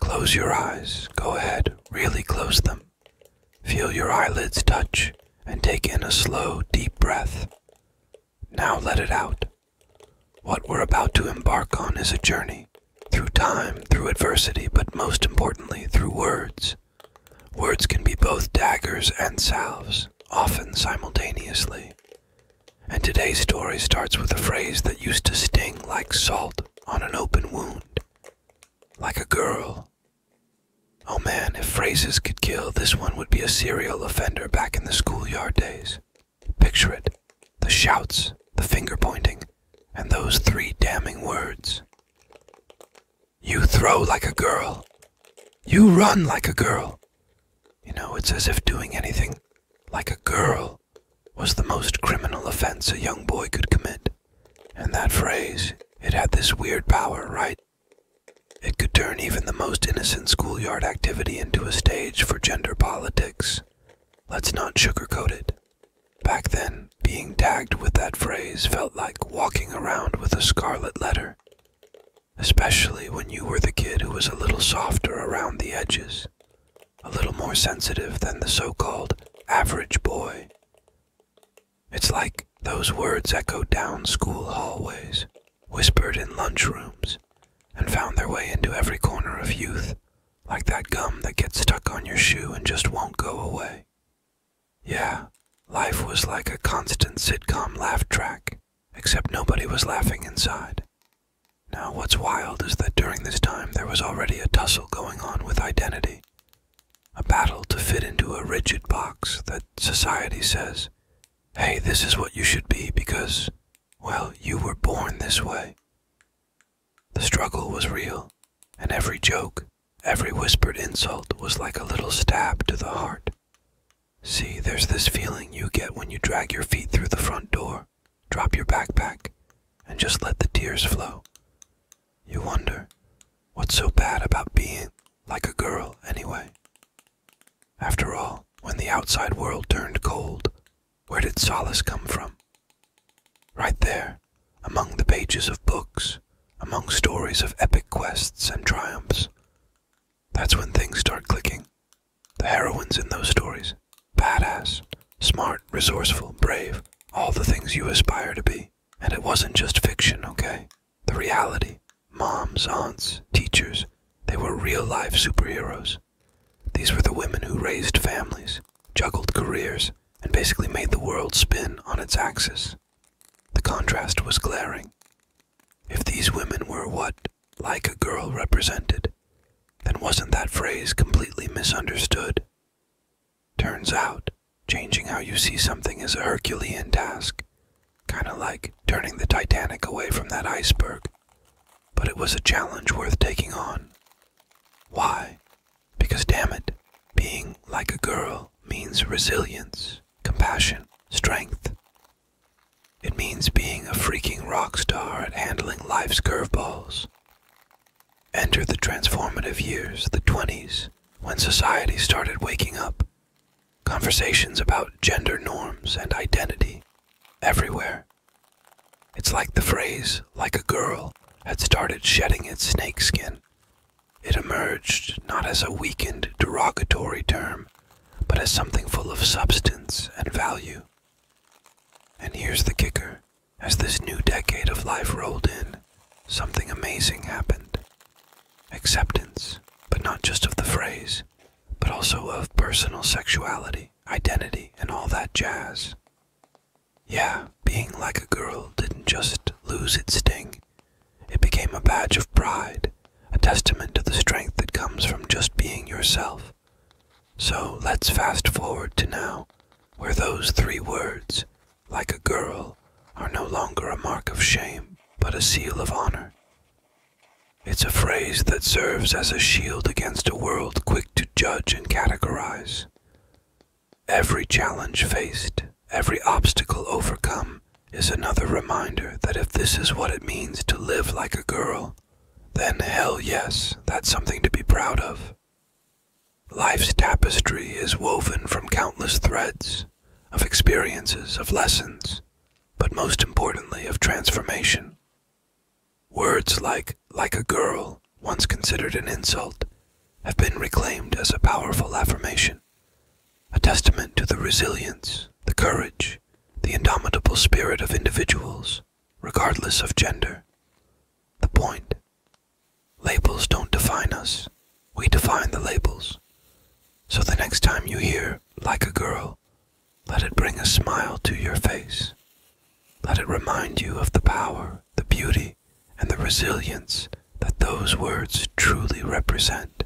Close your eyes. Go ahead, really close them. Feel your eyelids touch and take in a slow, deep breath. Now let it out. What we're about to embark on is a journey through time, through adversity, but most importantly, through words. Words can be both daggers and salves, often simultaneously. And today's story starts with a phrase that used to sting like salt on an open wound, like a girl. Oh man, if phrases could kill, this one would be a serial offender back in the schoolyard days. Picture it the shouts, the finger pointing, and those three damning words. You throw like a girl. You run like a girl. You know, it's as if doing anything like a girl was the most criminal offense a young boy could commit. And that phrase, it had this weird power, right? It could turn even the most innocent schoolyard activity into a stage for gender politics. Let's not sugarcoat it. Back then, being tagged with that phrase felt like walking around with a scarlet letter, especially when you were the kid who was a little softer around the edges a little more sensitive than the so called average boy. It's like those words echoed down school hallways, whispered in lunchrooms, and found their way into every corner of youth, like that gum that gets stuck on your shoe and just won't go away. Yeah, life was like a constant sitcom laugh track, except nobody was laughing inside. Now, what's wild is that during this time there was already a tussle going on with identity, a battle to fit into a rigid box that society says, hey, this is what you should be because, well, you were born this way. The struggle was real, and every joke, every whispered insult was like a little stab to the heart. See, there's this feeling you get when you drag your feet through the front door drop your backpack, and just let the tears flow. You wonder, what's so bad about being like a girl, anyway? After all, when the outside world turned cold, where did solace come from? Right there, among the pages of books, among stories of epic quests and triumphs. That's when things start clicking the heroines in those stories badass, smart, resourceful, brave, all the things you aspire to be. And it wasn't just fiction, okay? The reality moms, aunts, teachers they were real life superheroes. These were the women who raised families, juggled careers, and basically made the world spin on its axis. The contrast was glaring. If these women were what like a girl represented, then wasn't that phrase completely misunderstood? Turns out, changing how you see something is a Herculean task, kind of like turning the Titanic away from that iceberg. But it was a challenge worth taking on. Why? Because, damn it, being like a girl means resilience, compassion, strength, it means being a freaking rock star at handling life's curveballs. Enter the transformative years, the 20s, when society started waking up. Conversations about gender norms and identity everywhere. It's like the phrase, like a girl, had started shedding its snake skin. It emerged not as a weakened, derogatory term, but as something full of substance and value. And here's the kicker as this new decade of life rolled in, something amazing happened. Acceptance, but not just of the phrase, but also of personal sexuality, identity, and all that jazz. Yeah, being like a girl didn't just lose its sting, it became a badge of pride, a testament to the strength that comes from just being yourself. So let's fast forward to now, where those three words, like a girl, are no longer a mark of shame, but a seal of honor. It's a phrase that serves as a shield against a world quick to judge and categorize. Every challenge faced, every obstacle overcome, is another reminder that if this is what it means to live like a girl, then hell yes, that's something to be proud of. Life's tapestry is woven from countless threads of experiences, of lessons, but most importantly, of transformation. Words like, like a girl, once considered an insult, have been reclaimed as a powerful affirmation, a testament to the resilience, the courage, the indomitable spirit of individuals, regardless of gender. The point labels don't define us, we define the labels. So the next time you hear, like a girl, let it bring a smile to your face. Let it remind you of the power, the beauty, and the resilience that those words truly represent.